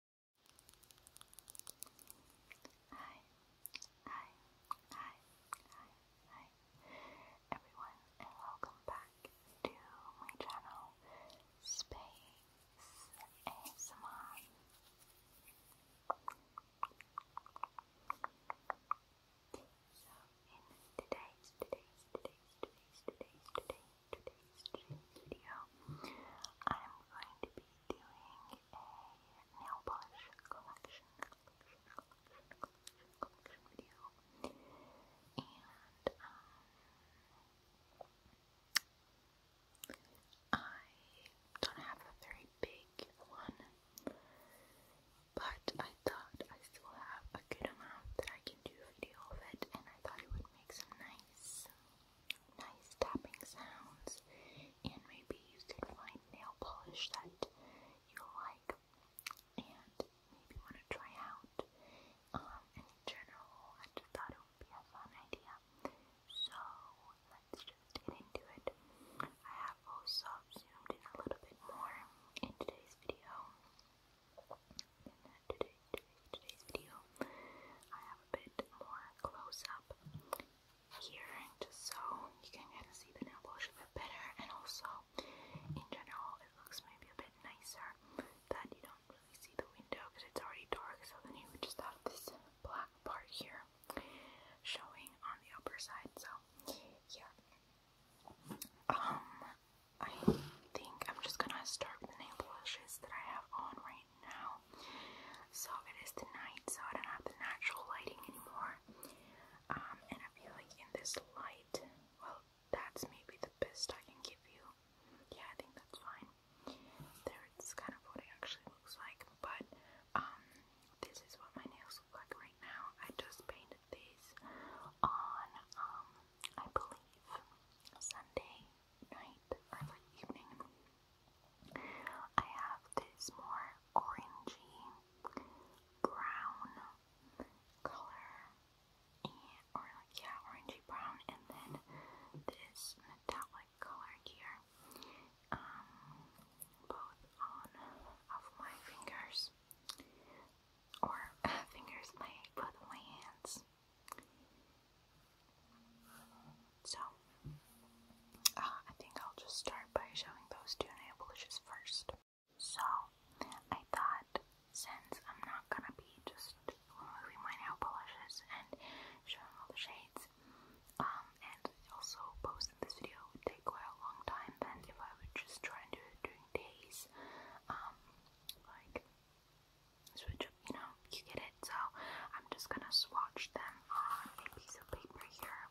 Hi, hi, hi, hi, hi, everyone, and welcome back to my channel, Space ASMR. So, in today's, today's, today's, today's, today's, today's dream video, I'm going to be doing a nail polish collection, collection, collection, collection, collection video, and I don't have a very big one, but I thought I still have a good amount that I can do a video of it, and I thought it would make some nice nice tapping sounds, and maybe you can find nail polish that you like and maybe want to try out. Um, in general, I just thought it would be a fun idea. So let's just get into it. I have also zoomed in a little bit more in today's video today's video, I have a bit more close up here, just so you can kind of see the nail polish a bit better, and also in general, it looks maybe a bit nicer that you don't really see the window because it's already dark, so then you just have this black part here showing on the upper side. So, yeah. Um, I think I'm just gonna start with the nail polishes that I have on right now. So it is the night, so I don't have the natural lighting anymore. Um, and I feel like in this light, well, that's maybe the best I can give you. Yeah, I think that's fine. There, it's kind of what it actually looks like. But um, this is what my nails look like right now. I just painted these on, um, I believe Sunday night or evening, I have this more orangey brown color, or like yeah, orangey brown, and then this metallic color here, um, both on of my fingers or fingers, my both my hands. So, uh, I think I'll just start by showing those two nail polishes first. So, I thought since I'm not gonna be just removing my nail polishes and showing all the shades, um, and also posting this video would take quite a long time, then if I would just try and do it during days, um, like switch you know, you get it. So I'm just gonna swatch them on a piece of paper here.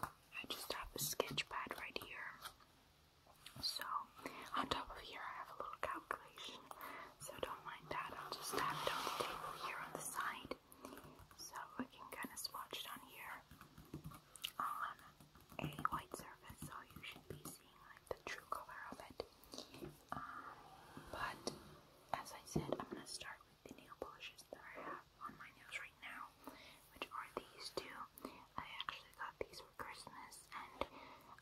I just have a sketch pad right here. So on top of here I have a little calculation. So don't mind that. I'll just have it on the table here on the side. So we can kind of swatch it on here on um, a white surface, so you should be seeing like the true color of it. Um, but as I said, I'm gonna start with the nail polishes that I have on my nails right now, which are these two. I actually got these for Christmas, and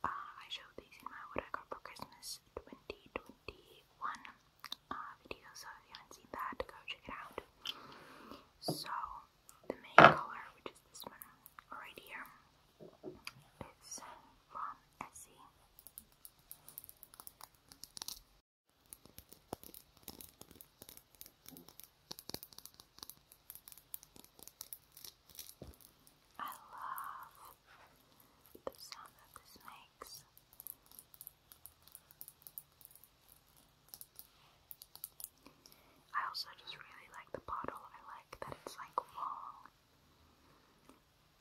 uh, I showed these in my what I got for Christmas 2021 uh, video. So if you haven't seen that, go check it out. So the main color, which is this one right here, is from Essie. I love the sound that this makes. I also just really like the bottle. I like that it's like long.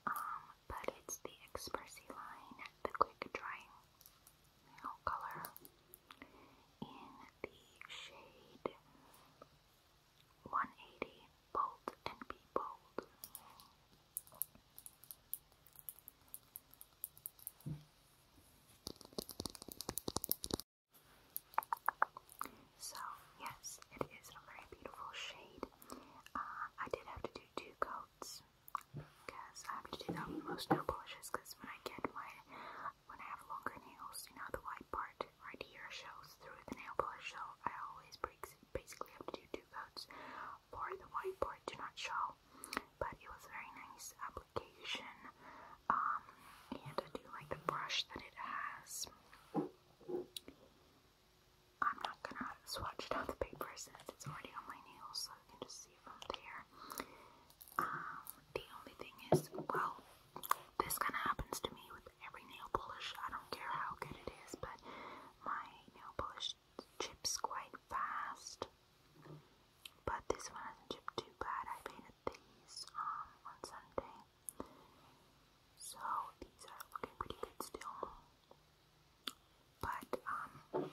Um, but it's the Expressy line, the quick drying nail color in the shade 180 Bold and Be Bold. So, yes, it is a very beautiful shade. Uh, I did have to do two coats because I have to do that with most nail polishes because when I get my, when I have longer nails, you know, the white part right here shows through the nail polish, so I always break. basically have to do two coats for the white part to not show but it was very nice application. Um, and I do like the brush that it has. I'm not gonna swatch it on the paper since it's already on my nails, so you can just see from there. Um, the only thing is, well, this kind of happens to me with every nail polish. I don't care how good it is, but my nail polish chips quite fast. But this one hasn't too bad. I painted these um, on Sunday. So these are looking pretty good still. But um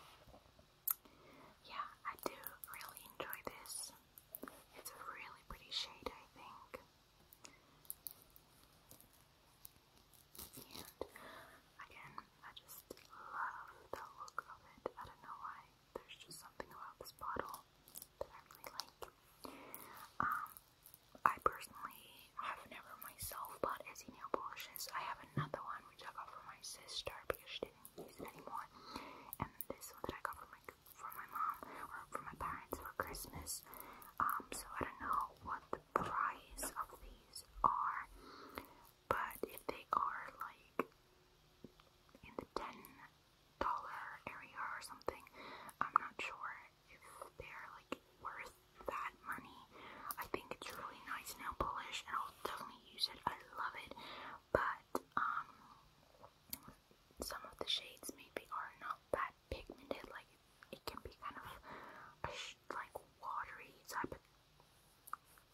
yeah, I do really enjoy this. It's a really pretty shade, I think. And again, I just love the look of it. I don't know why there's just something about this bottle that I really like. Um, I personally have never myself bought Izzy nail polishes. I have another one which I got from my sister because she didn't use it anymore, and this one that I got from my from my mom or from my parents for Christmas. Um, so I don't know what the price of these are but if they are like in the ten dollar area or something, I'm not sure if they're like worth that money. I think it's really nice nail polish, and I'll definitely use it. I love it, but um, some of the shades maybe are not that pigmented. Like it can be kind of a like watery type of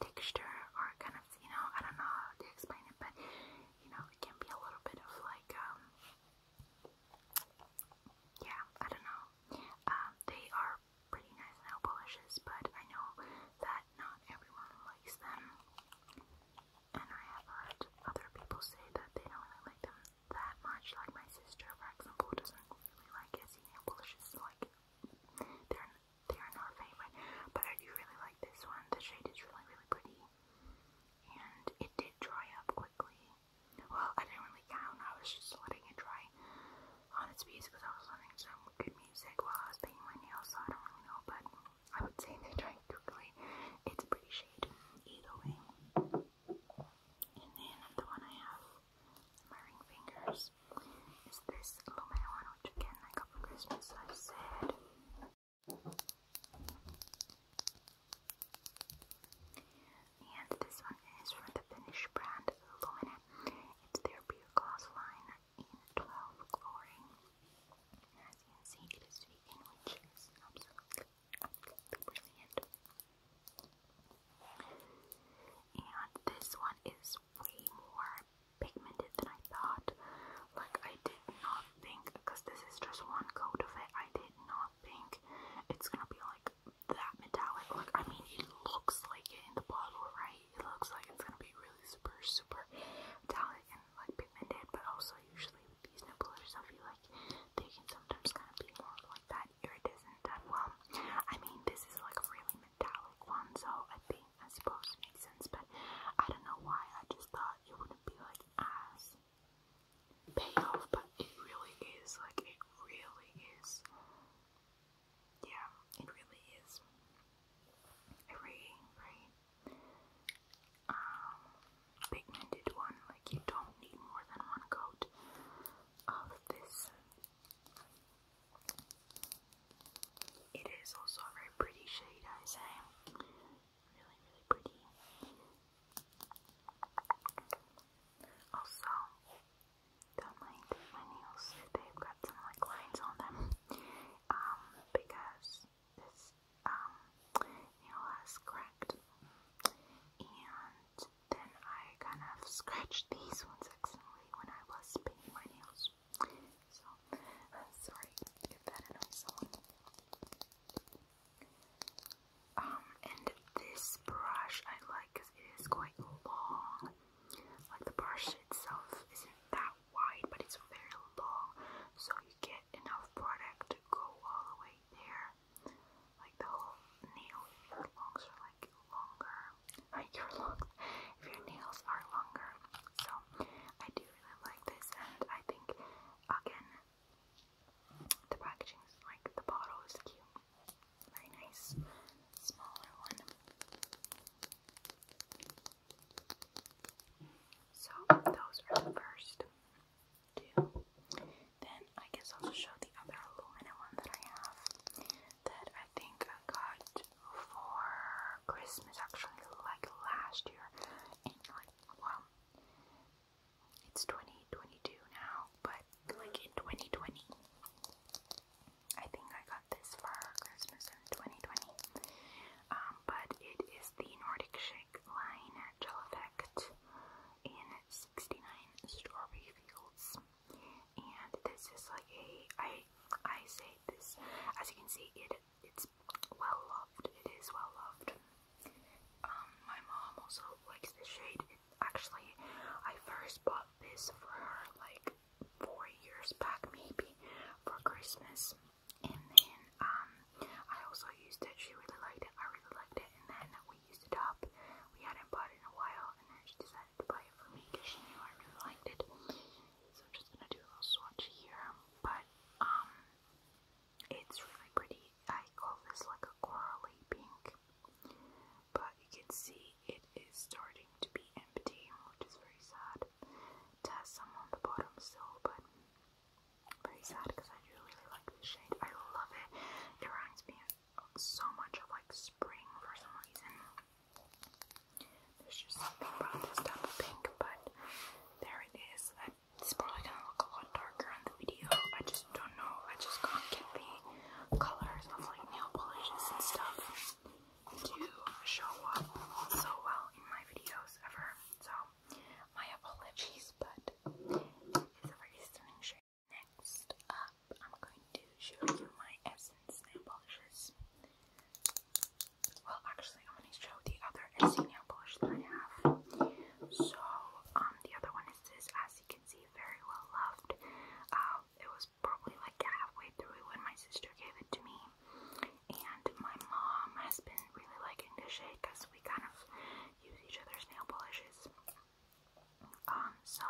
texture or kind of, you know, I don't know how to explain it, but you know, it can be a little bit of like, um, yeah, I don't know. Um, they are pretty nice nail polishes, but I know that not everyone likes them, and I have heard other people say that they don't really like them that much. Like my sister, for example, doesn't really like Etsy nail polishes, like they're they are not favorite, but I do really like this one. The shade is really, really pretty, and it did dry up quickly. Well, I didn't really count, I was just letting it dry on its piece because I was listening some good music while I was painting my nails, so I don't really know, but I would say they dried quickly. It's a pretty shade, either way. And then the one I have in my ring fingers is this Lumea which I got for Christmas, I said. And this one is from the Finnish brand Lumene. It's their beer glass line in 12 glory. as you can see, it is vegan, which is absolutely brilliant. And this one is way more pigmented than I thought. Like, I did not think, because this is just one coat of it, I did not think it's gonna be like that metallic. Look, I mean, it looks like it in the bottle, right? It looks like it's gonna be really super, super metallic and like pigmented, but also, usually with these nipple or stuff, you like they can sometimes kind of be more like that iridescent. That well, I mean, this is like a really metallic one, so I think thing, I suppose, makes sense, but I don't know why. I just thought it wouldn't be like as payoff, but it really is. Like, it really is. Yeah, it really is. A um, pigmented one. Like, you don't need more than one coat of this it is also a very pretty shade, I say. Really, really pretty. Also, don't mind my nails they've got some like lines on them. Um, because this um nail has cracked. And then I kind of scratched these ones when I was painting my nails. So, sorry if that annoys someone. Um, and this brush I like because it is quite long. Like the brush itself isn't that wide, but it's very long, so you get enough product to go all the way there. Like the whole nail, your longs are like longer like your looks if your nails are longer. So I do really like this, and I think again the packaging is like the bottle is cute, very nice, smaller one. So those are the first two. Then I guess I'll show the other aluminum one that I have that I think got for Christmas actually like last year and like well it's 2022 now but like in 2020 I think I got this for Christmas in 2020 um, but it is the Nordic Shake line gel effect in 69 strawberry fields and this is like a I I say this as you can see it it's well loved it is well loved. Um, my mom also likes this shade. It, actually, I first bought this for her like four years back maybe for Christmas, and then um I also used it. She really liked it. I really liked it, and then we used it up. We hadn't bought it in a while, and then she decided direct it for me because she knew I really liked it. So I'm just gonna do a little swatch here, but um, it's really pretty. I call this like a corally pink, but you can see it is starting to be empty, which is very sad. has some on the bottom still, but very sad because I do really like this shade. I love it. It reminds me so much of like spring for some reason. There's just something about this type of pink, but there it is. It's probably gonna look a lot darker on the video. I just don't know. I just can't get the colors of like nail polishes and stuff to show up so well in my videos ever. So my apologies, but it's a very stunning shade. Next up, I'm going to show you my Essence nail polishes. Well, actually, I'm going to show the other Essence nail polish that I have. So, um, the other one is this, as you can see, very well loved. Um, it was probably like halfway through when my sister gave it to me, and my mom has been really liking this shade because we kind of use each other's nail polishes. Um, so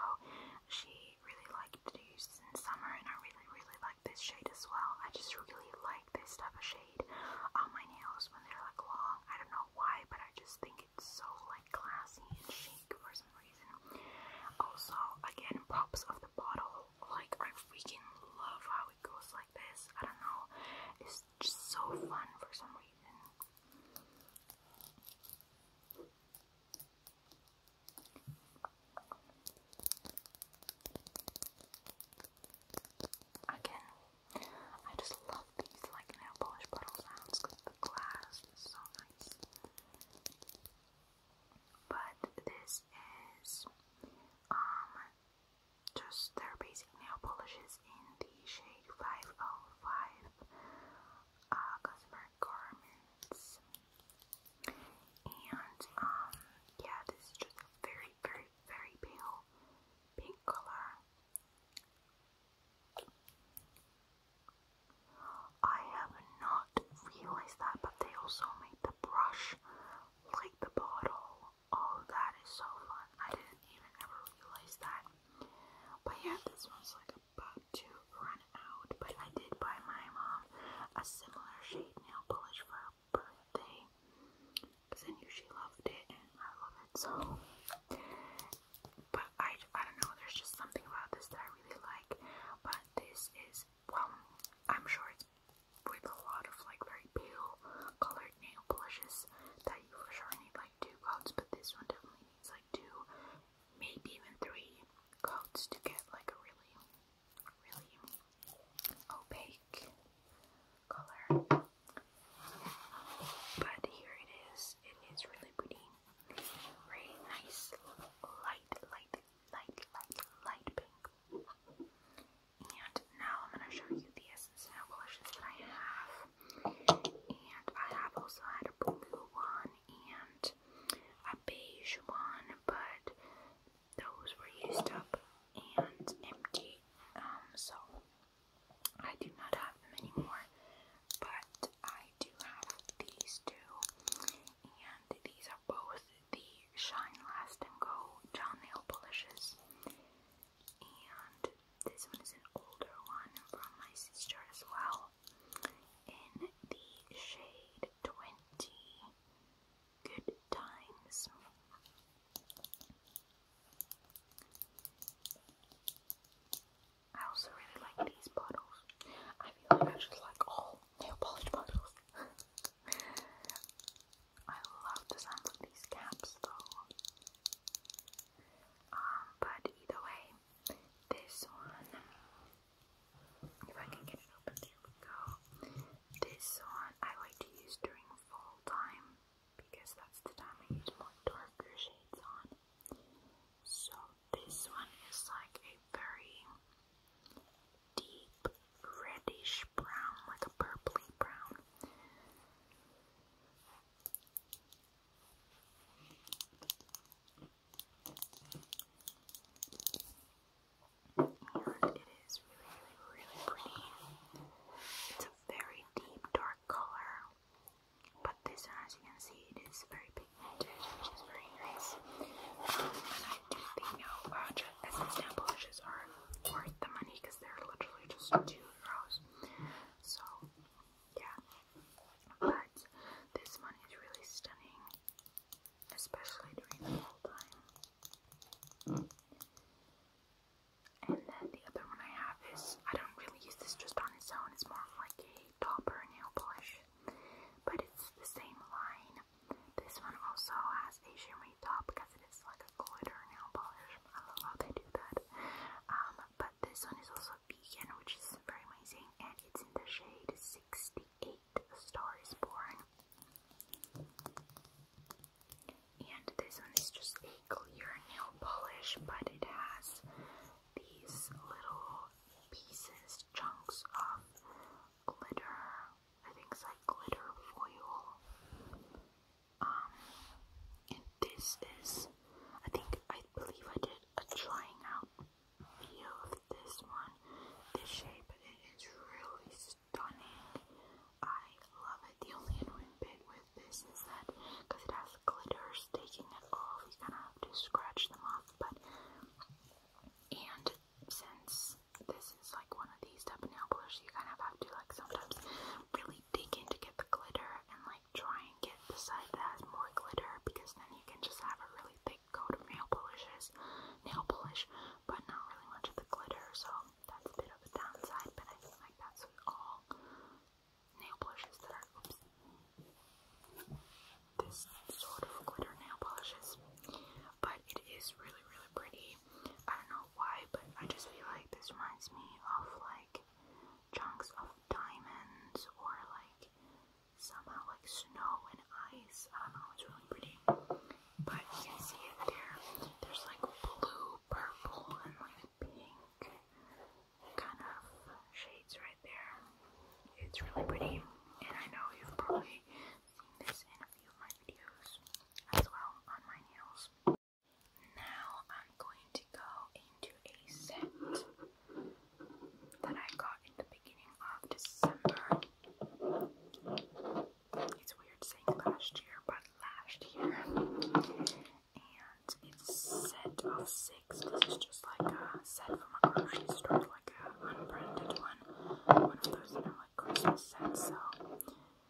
she really liked these in summer, and I really, really like this shade as well. I just really like this type of shade on my nails when they're like long. I don't know why, but I just think it's so like classy and chic for some reason. Also, again, props of the bottle. Like I freaking love how it goes like this. I don't know, it's just so fun for some reason. Again, I just love these like nail polish bottle sounds because the glass is so nice. But this is um just their basic nail polishes in the shade 505 uh, customer garments. And um, yeah, this is just a very, very, very pale pink color. I have not realized that, but they also made the brush like the bottle. Oh, that is so fun! I didn't even ever realize that. But yeah, this one's like about to run out, but I did buy my mom um, a similar shade nail polish for her birthday because I knew she loved it and I love it so. But I, I don't know, there's just something about this that I really like. But this is, well, I'm sure it's with a lot of like very pale colored nail polishes that you for sure need like two coats, but this one definitely needs like two maybe even three coats to get like a really, really opaque color. But here it is. It is really pretty. Very nice, light, light, light, light, light pink. And now I'm gonna show you the essence blushes that I have. And I have also had a blue one and a beige one, but those were used up and empty. Um, so I do not have them anymore, but I do have these two, and these are both the Shine Last and Go gel nail polishes, this one is an older one from my sister as well. In the shade 20 Good Times. I also really like these bottles. I feel like I just like all nail polish bottles. I love the sound of these caps though. Um, but either way, this one, if I can get it open, there we go. This one I like to use during fall time because that's the time I use more darker shades on. So this one is like a very deep reddish brown, like a purply brown it is really, really pretty. It's a very deep, dark color, but this as you can see, it is very pigmented, which is very nice. Um, and I do think you know, uh, nail polishes are worth the money because they're literally just two euros. So yeah. But this one is really stunning, especially during the fall time. And then the other one I have is I don't really use this just on its own, it's more like a topper nail polish, but it's the same line. This one also has a shimmery top because it is like a glitter nail polish. I love how they do that. Um, but this one is also vegan, which is very amazing, and it's in the shade 68, A Star is Born. And this one is just a clear nail polish, but it has these little pieces, chunks of glitter. I think it's like glitter foil. Um, this is, I think, I believe I did a trying out video of this one, this shape, and it is really stunning. I love it. The only annoying bit with this is that, because it has glitters taking it off, you kind of have to scratch them off, but, and since this is like one of these type nail polish, you kind of have to like sometimes really dig in to get the glitter and try and get the side that has more glitter because then you can just have a really thick coat of nail polishes, nail polish, but not really much of the glitter. So that's a bit of a downside, but I feel like that's with all nail polishes that are this sort of glitter nail polishes. But it is really, really pretty. I don't know why, but I just feel like this reminds me of like chunks of diamonds or like somehow like snow and ice. I don't know, it's really pretty. But you can see it there. There's like blue, purple, and like pink kind of shades right there. It's really pretty. And I know you've probably seen this in a few of my videos as well on my nails. Now I'm going to go into a set that I got in the beginning of December. It's weird saying last year, but last year. And it's set of six. This is just like a set from a grocery store, like an unbranded one. One of those, you know, like Christmas sets. So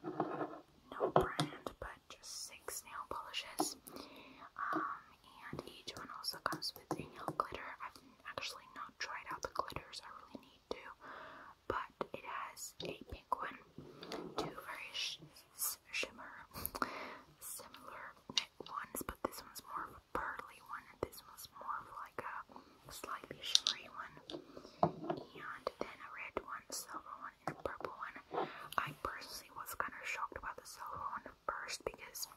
no brand, but just six nail polishes. Um, and each one also comes with a nail glitter. I've actually not tried out the glitters, I really need to, but it has a pink one, two variations shimmer, similar ones, but this one's more of a pearly one, this one's more of like a slightly shimmery one, and then a red one, silver one purple one. I personally was kind of shocked about the silver one first because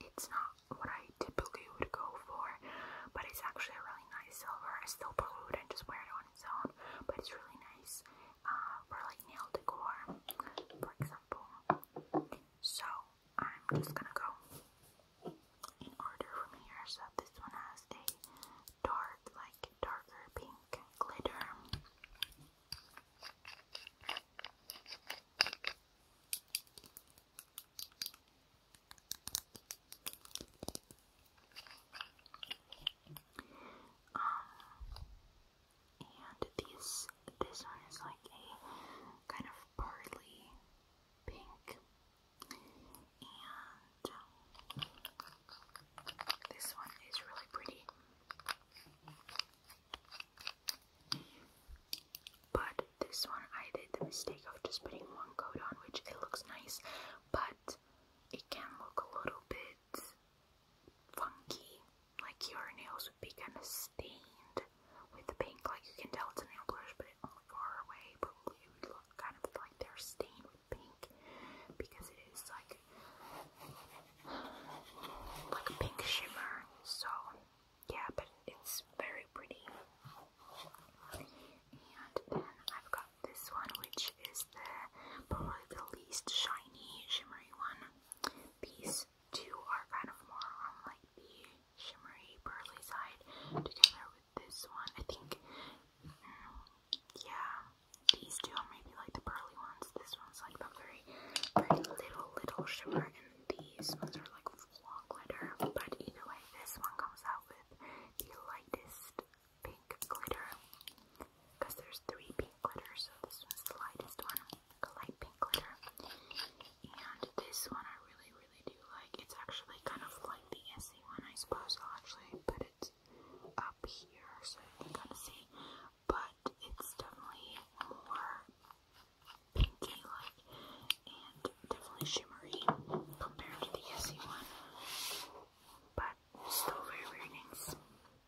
it's not what I typically would go for, but it's actually a really nice silver. I still probably wouldn't just wear it on its own, but it's really nice uh, for like nail decor, for example. So I'm just gonna go in order from here. So this one has a dark like darker pink glitter. Um, and these, this one is like a kind of barley pink, and um, this one is really pretty. But this one I did the mistake of just putting one coat on, which it looks nice, but it can look a little bit funky, like your nails would be kind of stained with the pink, like you can tell it's a nail polish, but it only far away, but it would look kind of like they're stained pink because it is like like a pink shimmer. So yeah, but it's very pretty. And then I've got this one, which is the probably the least shiny shimmery one. These two are kind of more on like the shimmery burly side together with this one. I think yeah, these two are maybe like the pearly ones. This one's like the very, very little, little shimmer, and these ones are like long glitter. But either way, this one comes out with the lightest pink glitter because there's three pink glitters, so this one's the lightest one, like a light pink glitter. And this one I really, really do like. It's actually kind of like the Essie one, I suppose. I'll actually put up here, so you can kind of see, but it's definitely more pinky like and definitely shimmery compared to the Essie one, but still very, very nice.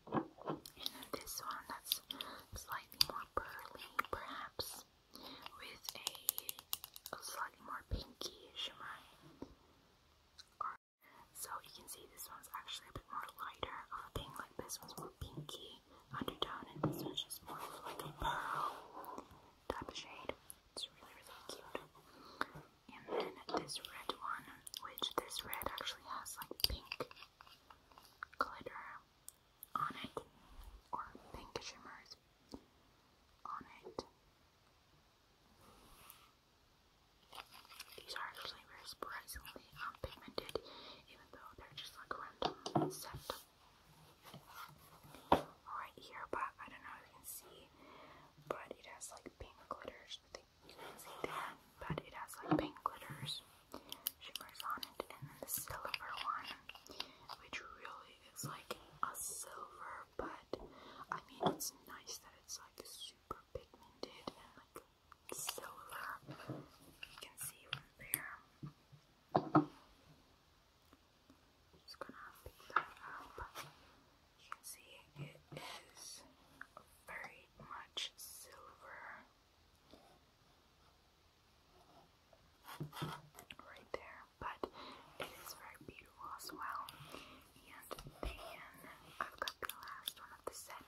And then this one that's slightly more pearly, perhaps, with a, slightly more pinky shimmer, so you can see this one's actually a bit more lighter of a pink, like this one's more pinky undertone, and this one's just more like a pearl type of shade. It's really, really cute. And then this red one, which this red actually has like pink glitter on it, or pink shimmers on it. These are actually very surprisingly um, pigmented, even though they're just like random right here, but I don't know if you can see, but it has like pink glitters. you can see there, but it has like pink glitters, shimmers on it, and then the silver one, which really is like a silver but I mean, it's nice that it's like super pigmented and like silver. Uh, you can see from there. just gonna pick that up. You can see it is very much silver. Right there but it is very beautiful as well. And then I've got the last one of the set.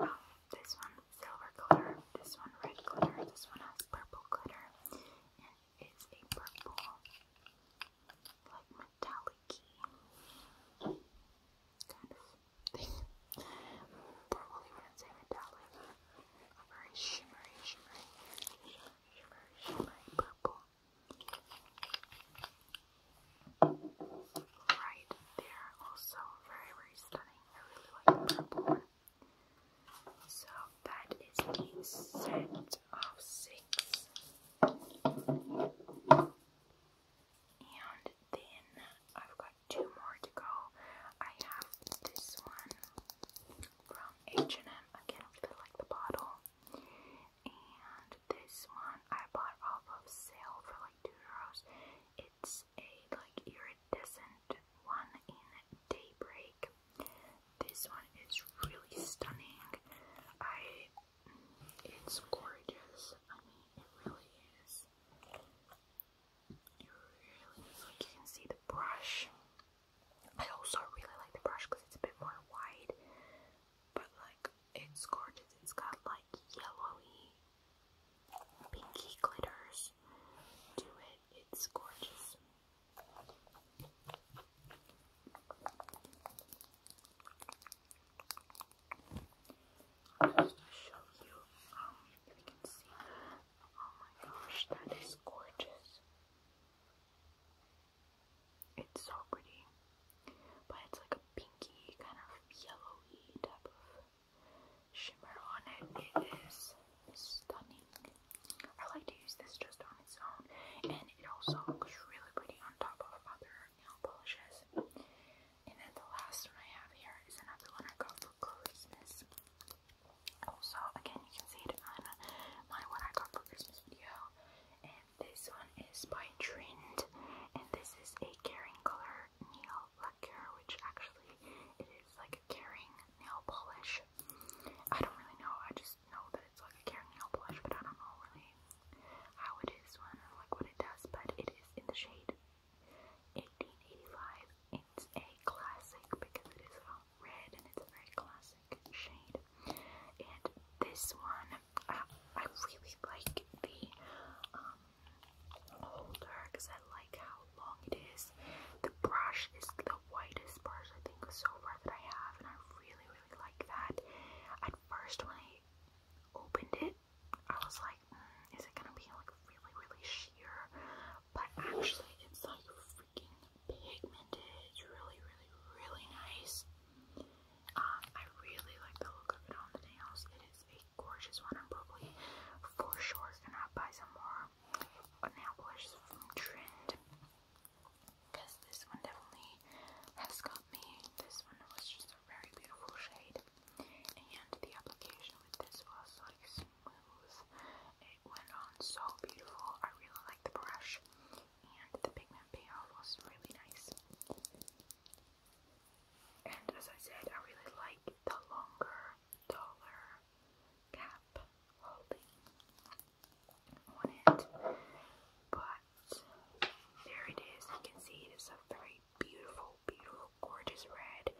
Um, this one silver glitter, this one red glitter, this one has purple glitter, it's a purple like metallic kind of thing. Probably wouldn't metallic. very shimmery, shimmery, shimmery, shimmery purple. Right there, also very, very stunning. I really like the purple one. So that is the set of six. And then I've got two more to go. I have this one from H&M. Again, really like the bottle and this one I bought off of sale for like two euros. It's a like iridescent one in Daybreak. This one is really stunning. I mm, it's gorgeous. I mean, it really is. It really is. Like you can see the brush. I also really like the brush because it's a bit more wide, but like it's gorgeous. It's got like yellowy, pinky glitters to it. It's gorgeous. I'll show you. Um, if you can see. Oh my gosh, that is gorgeous. It's so pretty. But it's like a pinky, kind of yellowy type of shimmer on it. It is stunning. I like to use this just on its own. And it also looks really pretty on top of other nail polishes. And then the last one I have here is another one I got for Christmas. Also, again, you can see it on my What I Got for Christmas video and this one is by Trend, and this is a Caring Color Nail Lacquer, which actually it is like a Caring nail polish. I don't really know, I just know that it's like a Caring nail polish, but I don't know really how it is one like what it does, but it is in the shade 1885. It's a classic because it is from um, red and it's a very classic shade. And this one, I, really like the holder um, because I like how long it is. The brush is the whitest brush I think so far that I have, and I really, really like that. At first, when I opened it, I was like, hmm, is it gonna be like really, really sheer? But actually, it's like freaking pigmented. It's really, really, really nice. Um, I really like the look of it on the nails. It is a gorgeous one. I'm probably for sure gonna buy some more nail polishes from Trend because this one definitely has got me. This one was just a very beautiful shade, and the application with this was like smooth. It went on so beautiful. I really like the brush, and the pigment payoff was really nice. And as I said, I really like the longer, taller cap holding on it. But there it is. You can see it is a very beautiful, beautiful, gorgeous red.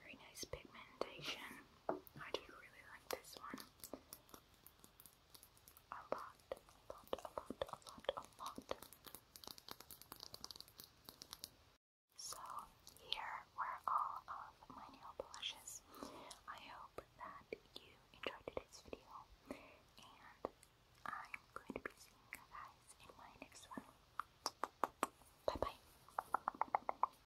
Very nice pigmentation. I just really like this one. A lot, lot, a lot, lot, a lot. So, here were all of my nail polishes. I hope that you enjoyed today's video, and I'm going to be seeing you guys in my next one. Bye bye.